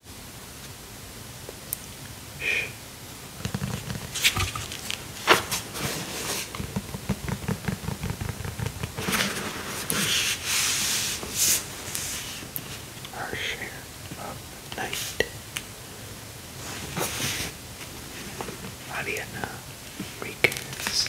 Shh. Our share of night. Mariana Weekends.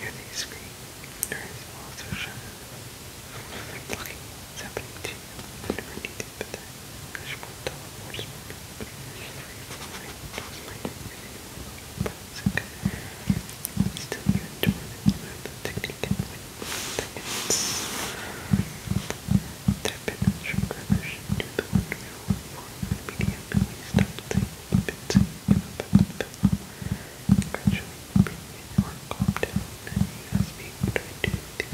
hear these scream. There is also shaman. Lucky it's happening to you. I never need to but that Kashmir teleports me. But it's okay. Still you enjoy this technique and win seconds. Type in sugar to the wonderful form of media and bits gradually improving or calm down and you asked I do to come back and you repeated the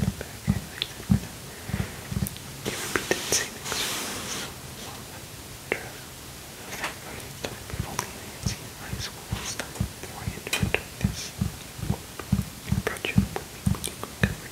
same exercise so after a fact running time before me I had seen high school last I had returned this approach with me when you could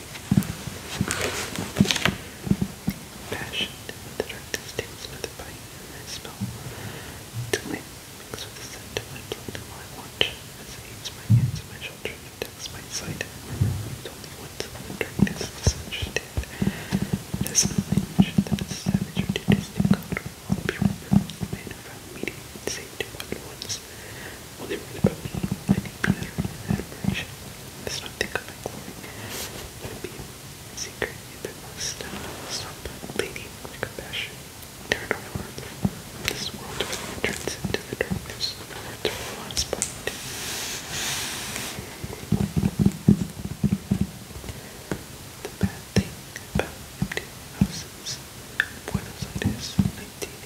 Passion, the darkness takes with bite I smell. Till mixed with the scent of my blood and my watch as it eats my hands and my shoulder and attacks my sight. It's only once in the darkness misunderstand. It is an illusion that a savage or detesting color will be remembered. The man who found meaning and saved it Will they really put me in any pleasure and admiration? Let's not think of uh, my Let it be a secret, yet there must some lady with compassion turn our hearts this world of into the darkness of the words of the last thing about empty Buenos Aires, 19.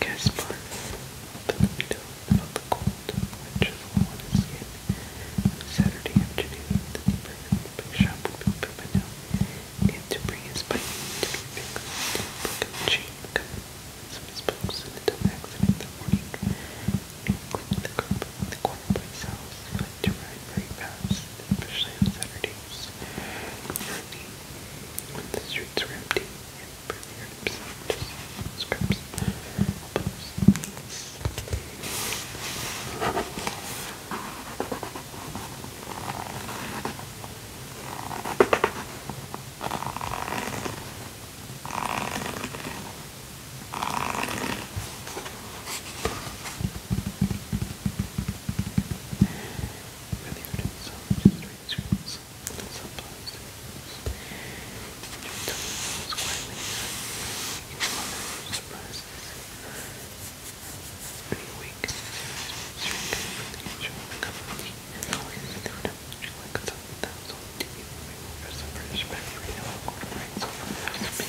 Gaspar told me to about the cold, which is on his skin. Saturday afternoon, the neighbor big shop would be open by now. to bring his bike to be fixed. Broken chain coming. Some of his books in a dumb accident that morning. Including the curb the corner by his house. to ride very fast, especially on Saturdays. When the streets are empty and perfumes, just scraps, elbows really hard to resolve just read scripts and subplots to readers. quietly each other surprises. Pretty weak, serious, from the intro of the company, and always they would have much like a thousand thousand TV movie workers of British factory now incorporates over the house of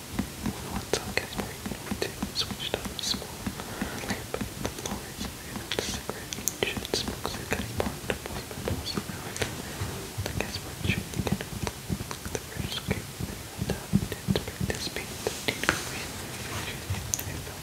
the ones on category number two switched on a small lamp the floors and cigarette should smoke so that he marked up with my boss The Casper should get the first game and uh, didn't participate in the team win. I felt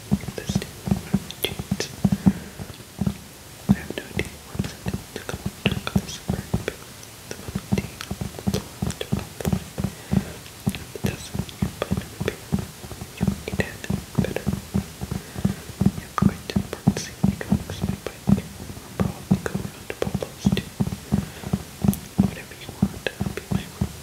this day change. I have no idea what's happening to come on track of this very big the moment tea to the dozen you put in the beer. You eat it better. You have quite a parts you can expect by I'll probably go around to Pablo's too. Whatever you want, I'll be my room.